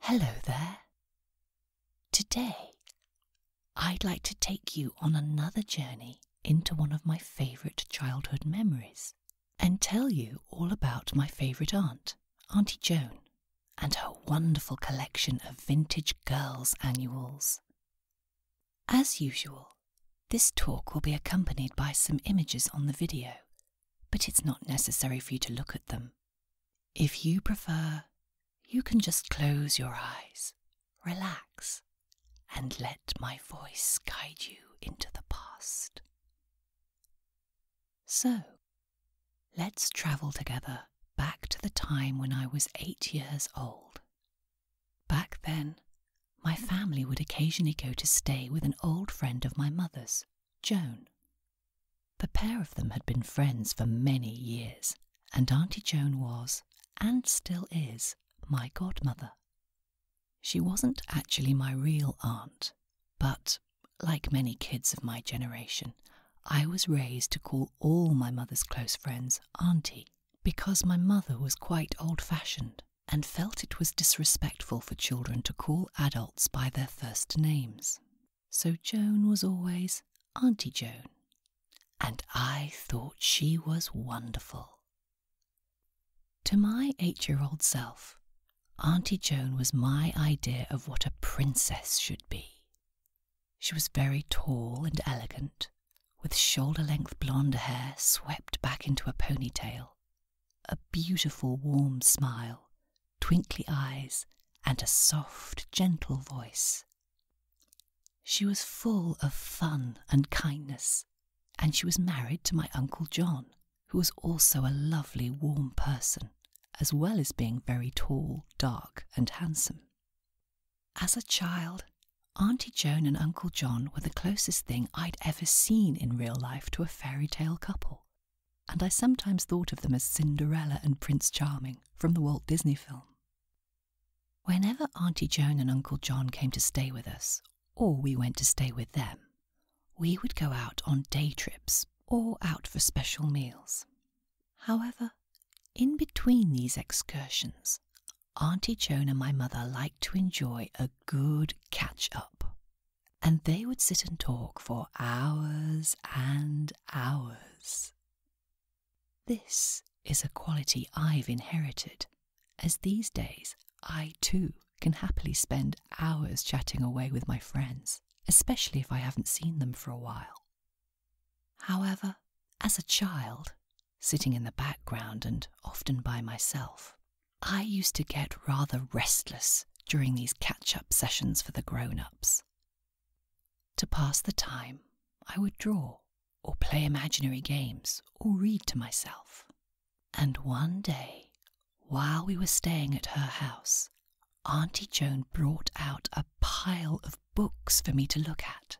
Hello there. Today, I'd like to take you on another journey into one of my favourite childhood memories and tell you all about my favourite aunt, Auntie Joan, and her wonderful collection of vintage girls' annuals. As usual, this talk will be accompanied by some images on the video but it's not necessary for you to look at them. If you prefer, you can just close your eyes, relax, and let my voice guide you into the past. So, let's travel together back to the time when I was eight years old. Back then, my family would occasionally go to stay with an old friend of my mother's Joan. The pair of them had been friends for many years, and Auntie Joan was, and still is, my godmother. She wasn't actually my real aunt, but, like many kids of my generation, I was raised to call all my mother's close friends Auntie, because my mother was quite old fashioned and felt it was disrespectful for children to call adults by their first names. So Joan was always Auntie Joan, and I thought she was wonderful. To my eight year old self, Auntie Joan was my idea of what a princess should be. She was very tall and elegant, with shoulder length blonde hair swept back into a ponytail a beautiful, warm smile, twinkly eyes, and a soft, gentle voice. She was full of fun and kindness, and she was married to my Uncle John, who was also a lovely, warm person, as well as being very tall, dark, and handsome. As a child, Auntie Joan and Uncle John were the closest thing I'd ever seen in real life to a fairy tale couple, and I sometimes thought of them as Cinderella and Prince Charming from the Walt Disney film. Whenever Auntie Joan and Uncle John came to stay with us, or we went to stay with them, we would go out on day trips or out for special meals. However, in between these excursions, Auntie Joan and my mother liked to enjoy a good catch up, and they would sit and talk for hours and hours. This is a quality I've inherited, as these days I too can happily spend hours chatting away with my friends, especially if I haven't seen them for a while. However, as a child, sitting in the background and often by myself, I used to get rather restless during these catch up sessions for the grown ups. To pass the time, I would draw, or play imaginary games, or read to myself. And one day, while we were staying at her house, Auntie Joan brought out a pile of books for me to look at.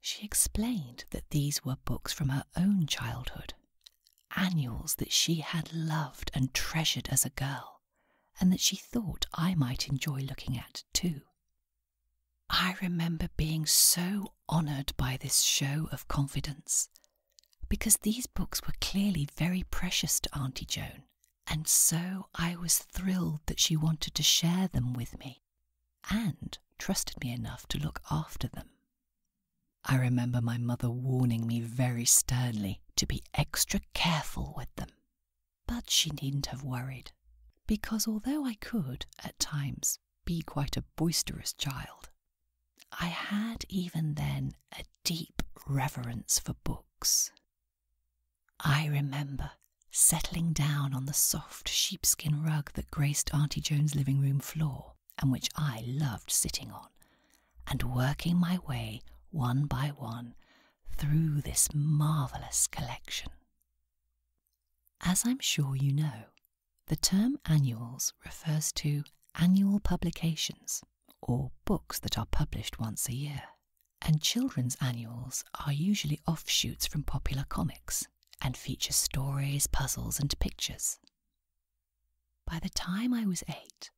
She explained that these were books from her own childhood annuals that she had loved and treasured as a girl, and that she thought I might enjoy looking at too. I remember being so honoured by this show of confidence, because these books were clearly very precious to Auntie Joan, and so I was thrilled that she wanted to share them with me and trusted me enough to look after them. I remember my mother warning me very sternly to be extra careful with them. But she needn't have worried, because although I could, at times, be quite a boisterous child, I had even then a deep reverence for books. I remember settling down on the soft sheepskin rug that graced Auntie Joan's living room floor and which I loved sitting on, and working my way one by one through this marvellous collection. As I'm sure you know, the term annuals refers to annual publications or books that are published once a year, and children's annuals are usually offshoots from popular comics and feature stories, puzzles, and pictures. By the time I was eight,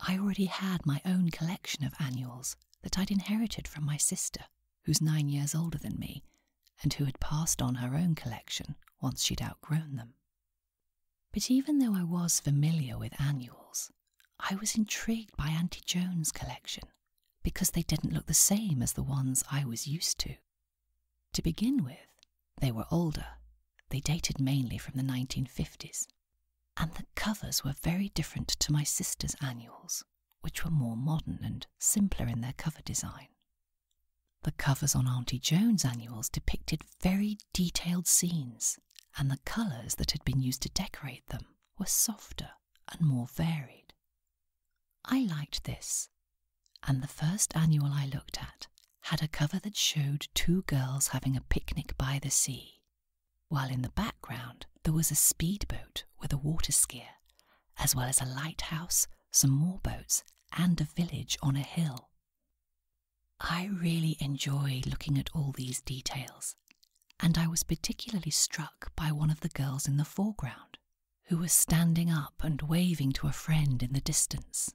I already had my own collection of annuals that I'd inherited from my sister, who's nine years older than me, and who had passed on her own collection once she'd outgrown them. But even though I was familiar with annuals, I was intrigued by Auntie Joan's collection because they didn't look the same as the ones I was used to, to begin with, they were older. They dated mainly from the 1950s. And the covers were very different to my sister's annuals, which were more modern and simpler in their cover design. The covers on Auntie Jones' annuals depicted very detailed scenes, and the colours that had been used to decorate them were softer and more varied. I liked this, and the first annual I looked at had a cover that showed two girls having a picnic by the sea, while in the background there was a speedboat with a waterskier, as well as a lighthouse, some more boats, and a village on a hill. I really enjoyed looking at all these details, and I was particularly struck by one of the girls in the foreground, who was standing up and waving to a friend in the distance.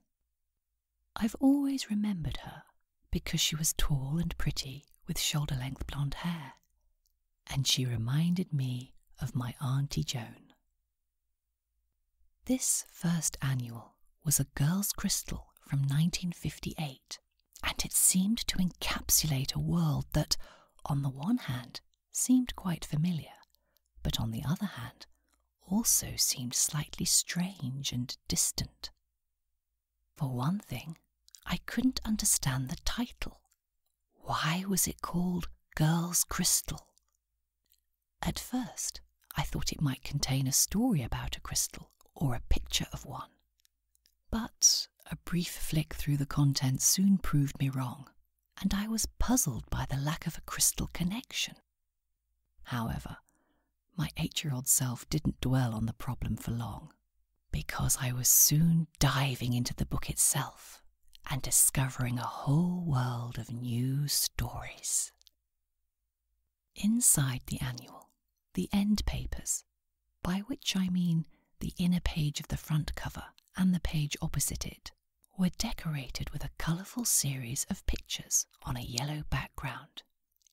I've always remembered her because she was tall and pretty with shoulder length blonde hair, and she reminded me of my Auntie Joan. This first annual was a girl's crystal from 1958, and it seemed to encapsulate a world that, on the one hand, seemed quite familiar, but on the other hand, also seemed slightly strange and distant. For one thing, I couldn't understand the title. Why was it called Girl's Crystal? At first, I thought it might contain a story about a crystal or a picture of one. But a brief flick through the contents soon proved me wrong, and I was puzzled by the lack of a crystal connection. However, my eight year old self didn't dwell on the problem for long, because I was soon diving into the book itself and discovering a whole world of new stories. Inside the annual, the end papers, by which I mean the inner page of the front cover and the page opposite it, were decorated with a colourful series of pictures on a yellow background,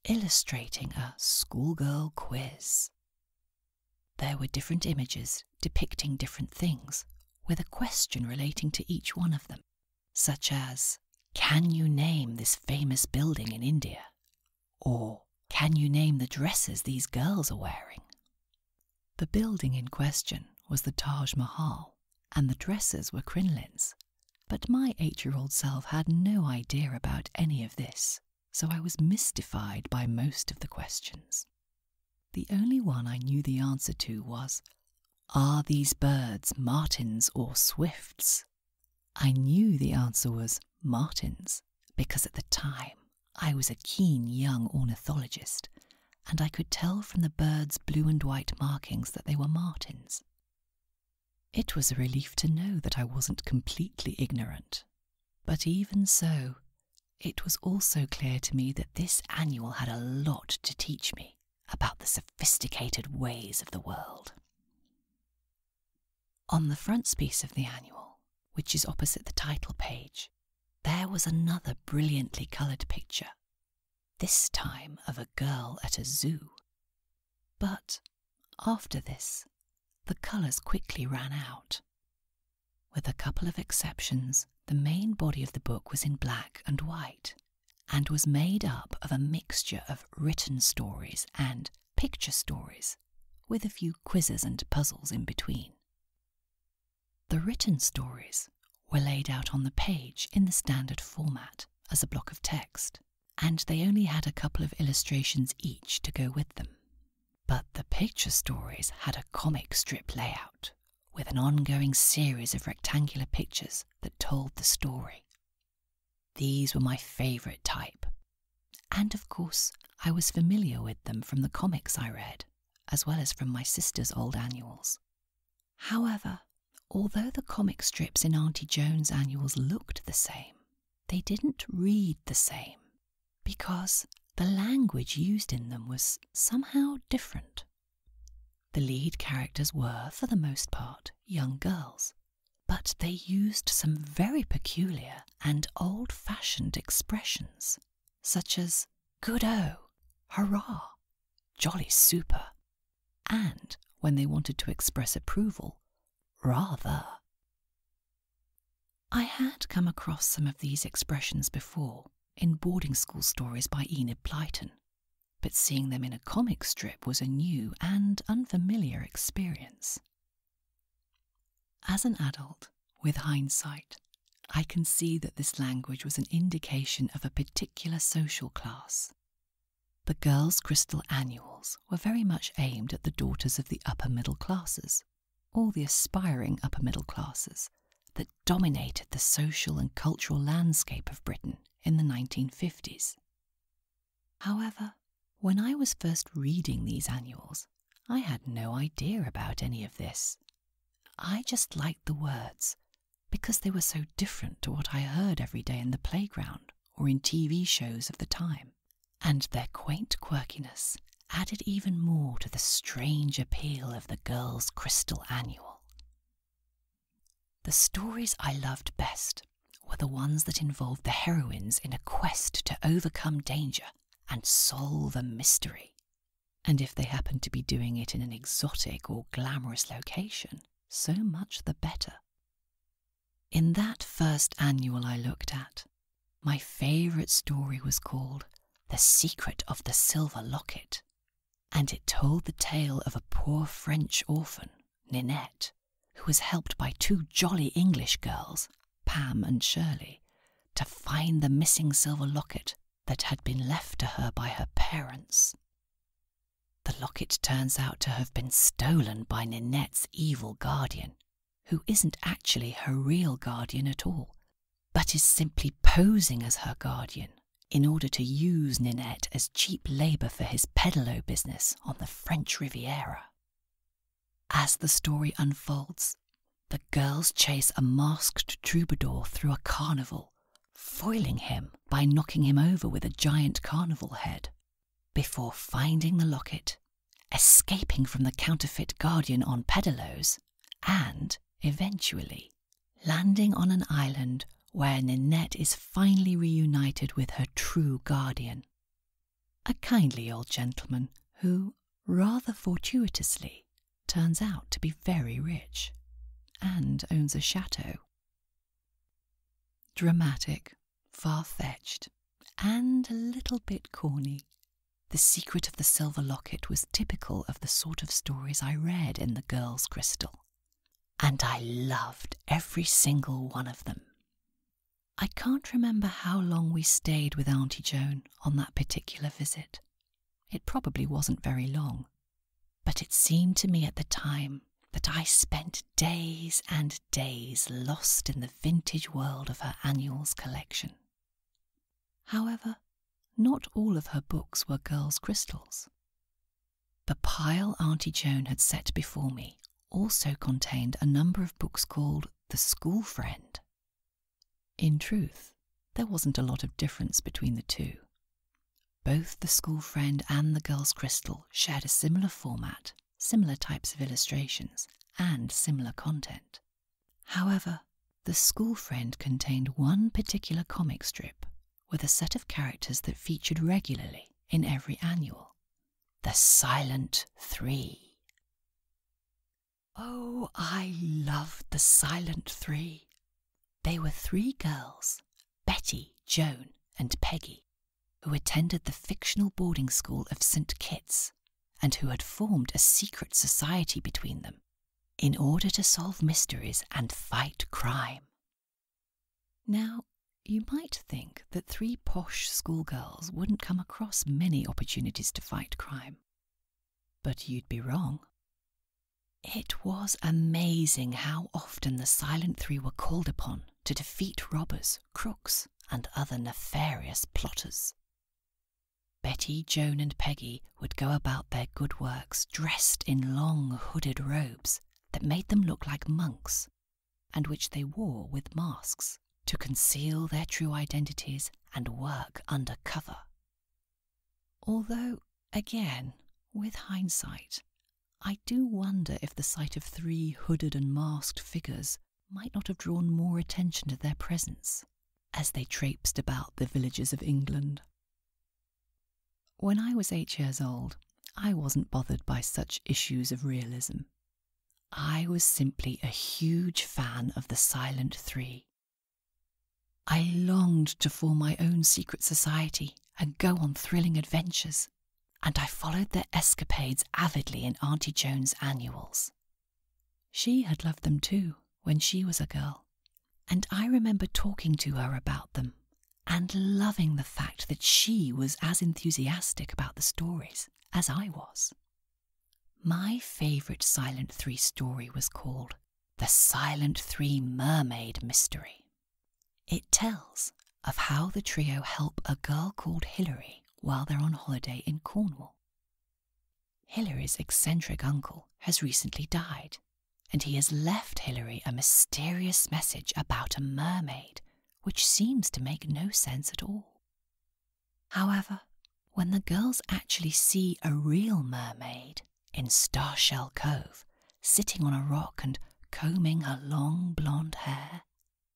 illustrating a schoolgirl quiz. There were different images depicting different things, with a question relating to each one of them, such as Can you name this famous building in India? or Can you name the dresses these girls are wearing? The building in question was the Taj Mahal, and the dresses were crinolines, but my eight year old self had no idea about any of this, so I was mystified by most of the questions. The only one I knew the answer to was Are these birds martins or swifts? I knew the answer was martins because at the time I was a keen young ornithologist and I could tell from the birds' blue and white markings that they were martins. It was a relief to know that I wasn't completely ignorant, but even so, it was also clear to me that this annual had a lot to teach me about the sophisticated ways of the world. On the frontispiece of the annual, which is opposite the title page, there was another brilliantly coloured picture, this time of a girl at a zoo. But after this, the colours quickly ran out. With a couple of exceptions, the main body of the book was in black and white and was made up of a mixture of written stories and picture stories, with a few quizzes and puzzles in between. The written stories were laid out on the page in the standard format as a block of text, and they only had a couple of illustrations each to go with them. But the picture stories had a comic strip layout with an ongoing series of rectangular pictures that told the story. These were my favourite type, and of course, I was familiar with them from the comics I read, as well as from my sister's old annuals. However, although the comic strips in Auntie Jones' annuals looked the same, they didn't read the same because the language used in them was somehow different. The lead characters were, for the most part, young girls, but they used some very peculiar and old fashioned expressions, such as good o, hurrah, jolly super, and when they wanted to express approval, rather. I had come across some of these expressions before in boarding school stories by Enid Blyton, but seeing them in a comic strip was a new and unfamiliar experience. As an adult, with hindsight, I can see that this language was an indication of a particular social class the girls' crystal annuals were very much aimed at the daughters of the upper middle classes, or the aspiring upper middle classes, that dominated the social and cultural landscape of Britain in the 1950s. However, when I was first reading these annuals, I had no idea about any of this. I just liked the words because they were so different to what I heard every day in the playground or in TV shows of the time. And their quaint quirkiness added even more to the strange appeal of the girls' crystal annual. The stories I loved best were the ones that involved the heroines in a quest to overcome danger and solve a mystery and if they happen to be doing it in an exotic or glamorous location, so much the better. In that first annual I looked at, my favourite story was called The Secret of the Silver Locket, and it told the tale of a poor French orphan, Ninette, who was helped by two jolly English girls, Pam and Shirley, to find the missing silver locket that had been left to her by her parents the locket turns out to have been stolen by Ninette's evil guardian, who isn't actually her real guardian at all, but is simply posing as her guardian in order to use Ninette as cheap labour for his pedalo business on the French Riviera. As the story unfolds, the girls chase a masked troubadour through a carnival foiling him by knocking him over with a giant carnival head, before finding the locket, escaping from the counterfeit guardian on Pedalos, and eventually landing on an island where Ninette is finally reunited with her true guardian. A kindly old gentleman who, rather fortuitously, turns out to be very rich and owns a chateau. Dramatic, far fetched, and a little bit corny. The secret of the silver locket was typical of the sort of stories I read in The Girl's Crystal, and I loved every single one of them. I can't remember how long we stayed with Auntie Joan on that particular visit. It probably wasn't very long, but it seemed to me at the time that I spent days and days lost in the vintage world of her annuals collection. However, not all of her books were girls' crystals. The pile Auntie Joan had set before me also contained a number of books called The School Friend. In truth, there wasn't a lot of difference between the two, both the school friend and the girl's crystal shared a similar format, similar types of illustrations, and similar content. However, the school friend contained one particular comic strip with a set of characters that featured regularly in every annual The Silent Three. Oh, I loved The Silent Three. They were three girls Betty, Joan, and Peggy, who attended the fictional boarding school of St. Kitts and who had formed a secret society between them in order to solve mysteries and fight crime. Now, you might think that three posh schoolgirls wouldn't come across many opportunities to fight crime. But you'd be wrong. It was amazing how often the Silent Three were called upon to defeat robbers, crooks, and other nefarious plotters. Betty, Joan, and Peggy would go about their good works dressed in long hooded robes that made them look like monks, and which they wore with masks to conceal their true identities and work under cover. Although Again, with hindsight, I do wonder if the sight of three hooded and masked figures might not have drawn more attention to their presence as they traipsed about the villages of England. When I was eight years old, I wasn't bothered by such issues of realism. I was simply a huge fan of the Silent Three I longed to form my own secret society and go on thrilling adventures, and I followed their escapades avidly in Auntie Joan's annuals. She had loved them too when she was a girl, and I remember talking to her about them and loving the fact that she was as enthusiastic about the stories as I was. My favourite Silent Three story was called the Silent Three Mermaid Mystery. It tells of how the trio help a girl called Hilary while they're on holiday in Cornwall. Hilary's eccentric uncle has recently died, and he has left Hilary a mysterious message about a mermaid, which seems to make no sense at all. However, when the girls actually see a real mermaid, in Starshell Cove, sitting on a rock and combing her long blonde hair,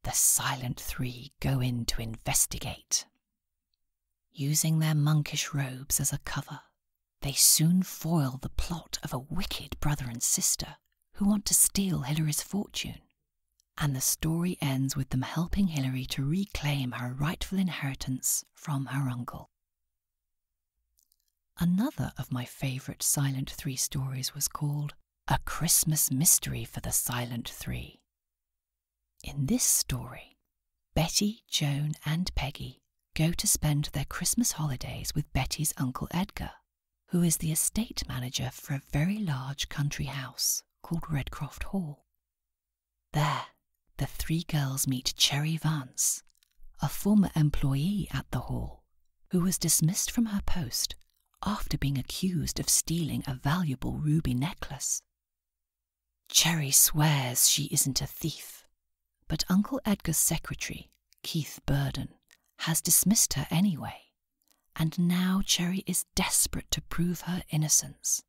the silent three go in to investigate. Using their monkish robes as a cover, they soon foil the plot of a wicked brother and sister who want to steal Hilary's fortune. And the story ends with them helping Hilary to reclaim her rightful inheritance from her uncle. Another of my favourite Silent Three stories was called A Christmas Mystery for the Silent Three. In this story, Betty, Joan, and Peggy go to spend their Christmas holidays with Betty's Uncle Edgar, who is the estate manager for a very large country house called Redcroft Hall. There, the three girls meet Cherry Vance, a former employee at the hall, who was dismissed from her post after being accused of stealing a valuable ruby necklace. Cherry swears she isn't a thief, but Uncle Edgar's secretary, Keith Burden, has dismissed her anyway, and now Cherry is desperate to prove her innocence.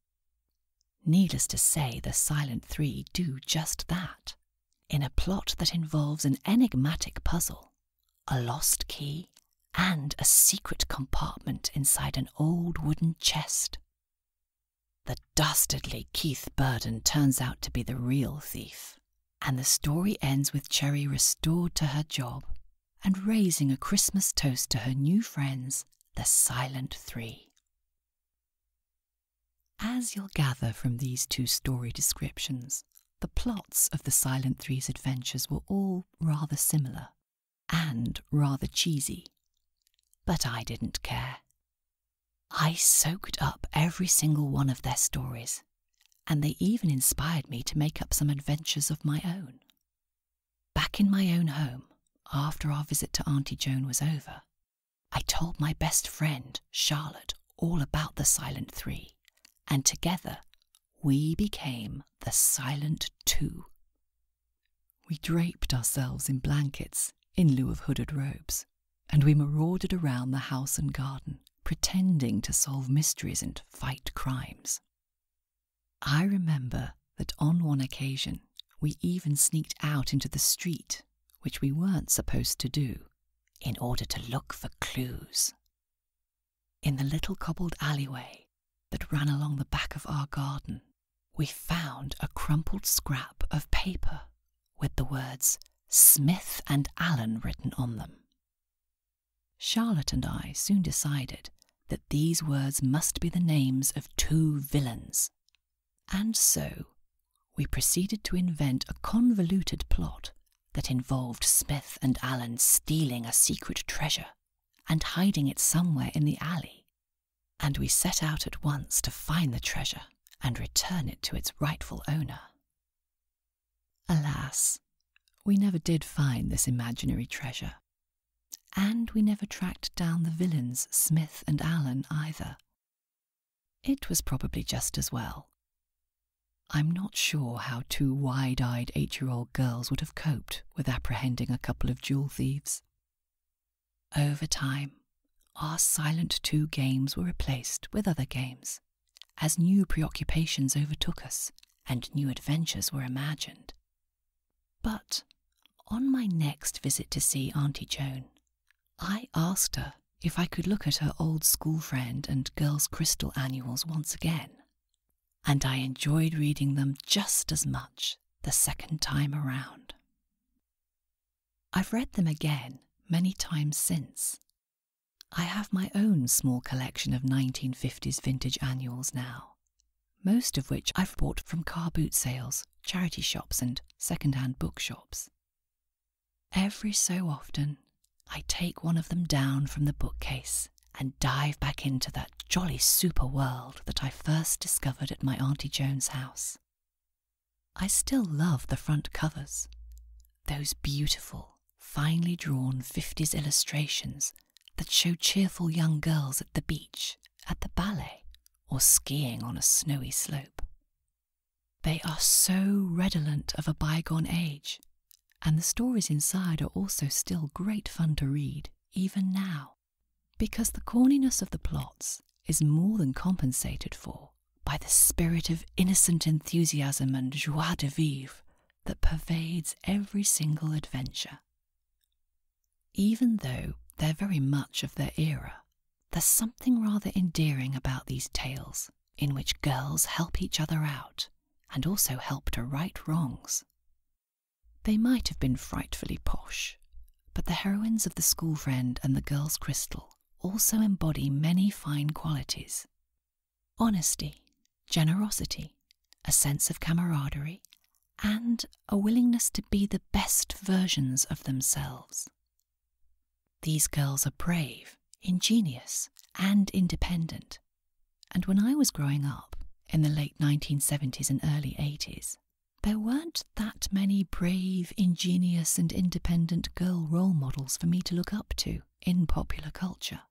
Needless to say, the Silent Three do just that. In a plot that involves an enigmatic puzzle, a lost key, and a secret compartment inside an old wooden chest. The dastardly Keith Burden turns out to be the real thief, and the story ends with Cherry restored to her job and raising a Christmas toast to her new friends, the Silent Three. As you'll gather from these two story descriptions, the plots of the Silent Three's adventures were all rather similar and rather cheesy. But I didn't care. I soaked up every single one of their stories, and they even inspired me to make up some adventures of my own. Back in my own home, after our visit to Auntie Joan was over, I told my best friend, Charlotte, all about the Silent Three, and together we became the Silent Two. We draped ourselves in blankets in lieu of hooded robes, and we marauded around the house and garden, pretending to solve mysteries and fight crimes. I remember that on one occasion we even sneaked out into the street which we weren't supposed to do, in order to look for clues. In the little cobbled alleyway that ran along the back of our garden, we found a crumpled scrap of paper with the words Smith and Allen written on them. Charlotte and I soon decided that these words must be the names of two villains and so we proceeded to invent a convoluted plot that involved Smith and Allen stealing a secret treasure and hiding it somewhere in the alley. And we set out at once to find the treasure and return it to its rightful owner. Alas, we never did find this imaginary treasure. And we never tracked down the villains, Smith and Allen, either, it was probably just as well. I'm not sure how two wide eyed eight year old girls would have coped with apprehending a couple of jewel thieves. Over time, our silent two games were replaced with other games, as new preoccupations overtook us and new adventures were imagined. But on my next visit to see Auntie Joan, I asked her if I could look at her old school friend and girls' crystal annuals once again, and I enjoyed reading them just as much the second time around. I've read them again many times since. I have my own small collection of 1950s vintage annuals now, most of which I've bought from car boot sales charity shops, and second hand bookshops. Every so often, I take one of them down from the bookcase and dive back into that jolly super world that I first discovered at my Auntie Joan's house. I still love the front covers, those beautiful, finely drawn 50s illustrations that show cheerful young girls at the beach, at the ballet, or skiing on a snowy slope. They are so redolent of a bygone age, and the stories inside are also still great fun to read, even now, because the corniness of the plots is more than compensated for by the spirit of innocent enthusiasm and joie de vivre that pervades every single adventure. Even though they're very much of their era there's something rather endearing about these tales, in which girls help each other out and also help to right wrongs. They might have been frightfully posh, but the heroines of The School Friend and The Girl's Crystal also embody many fine qualities honesty, generosity, a sense of camaraderie, and a willingness to be the best versions of themselves. These girls are brave, ingenious, and independent. And when I was growing up, in the late 1970s and early 80s, there weren't that many brave, ingenious, and independent girl role models for me to look up to in popular culture.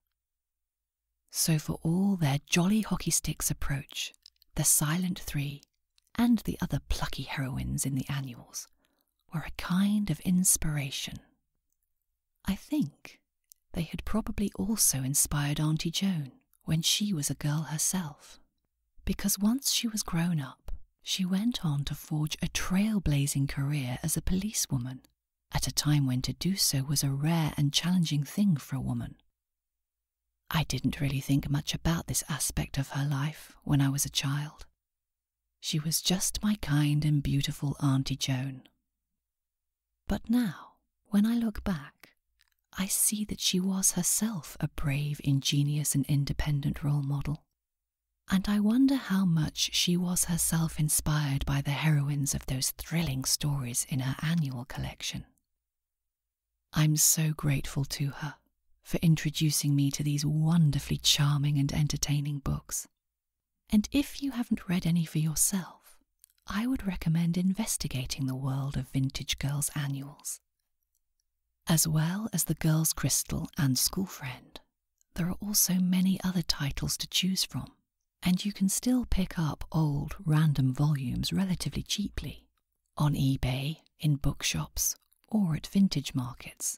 So, for all their jolly hockey sticks approach, the Silent Three and the other plucky heroines in the annuals were a kind of inspiration. I think they had probably also inspired Auntie Joan when she was a girl herself, because once she was grown up, she went on to forge a trailblazing career as a policewoman at a time when to do so was a rare and challenging thing for a woman. I didn't really think much about this aspect of her life when I was a child. She was just my kind and beautiful Auntie Joan. But now, when I look back, I see that she was herself a brave, ingenious, and independent role model. And I wonder how much she was herself inspired by the heroines of those thrilling stories in her annual collection. I'm so grateful to her for introducing me to these wonderfully charming and entertaining books. And if you haven't read any for yourself, I would recommend investigating the world of Vintage Girls Annuals. As well as The Girls Crystal and School Friend, there are also many other titles to choose from, and you can still pick up old, random volumes relatively cheaply on eBay, in bookshops, or at vintage markets.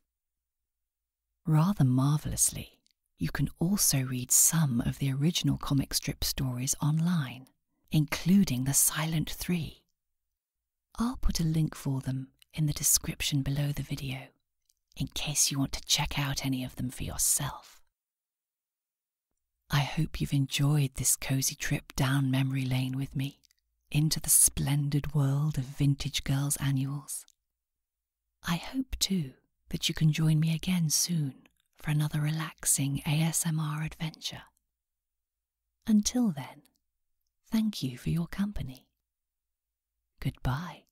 Rather marvellously, you can also read some of the original comic strip stories online, including The Silent Three. I'll put a link for them in the description below the video, in case you want to check out any of them for yourself. I hope you've enjoyed this cozy trip down memory lane with me into the splendid world of vintage girls' annuals. I hope, too, that you can join me again soon for another relaxing ASMR adventure. Until then, thank you for your company. Goodbye.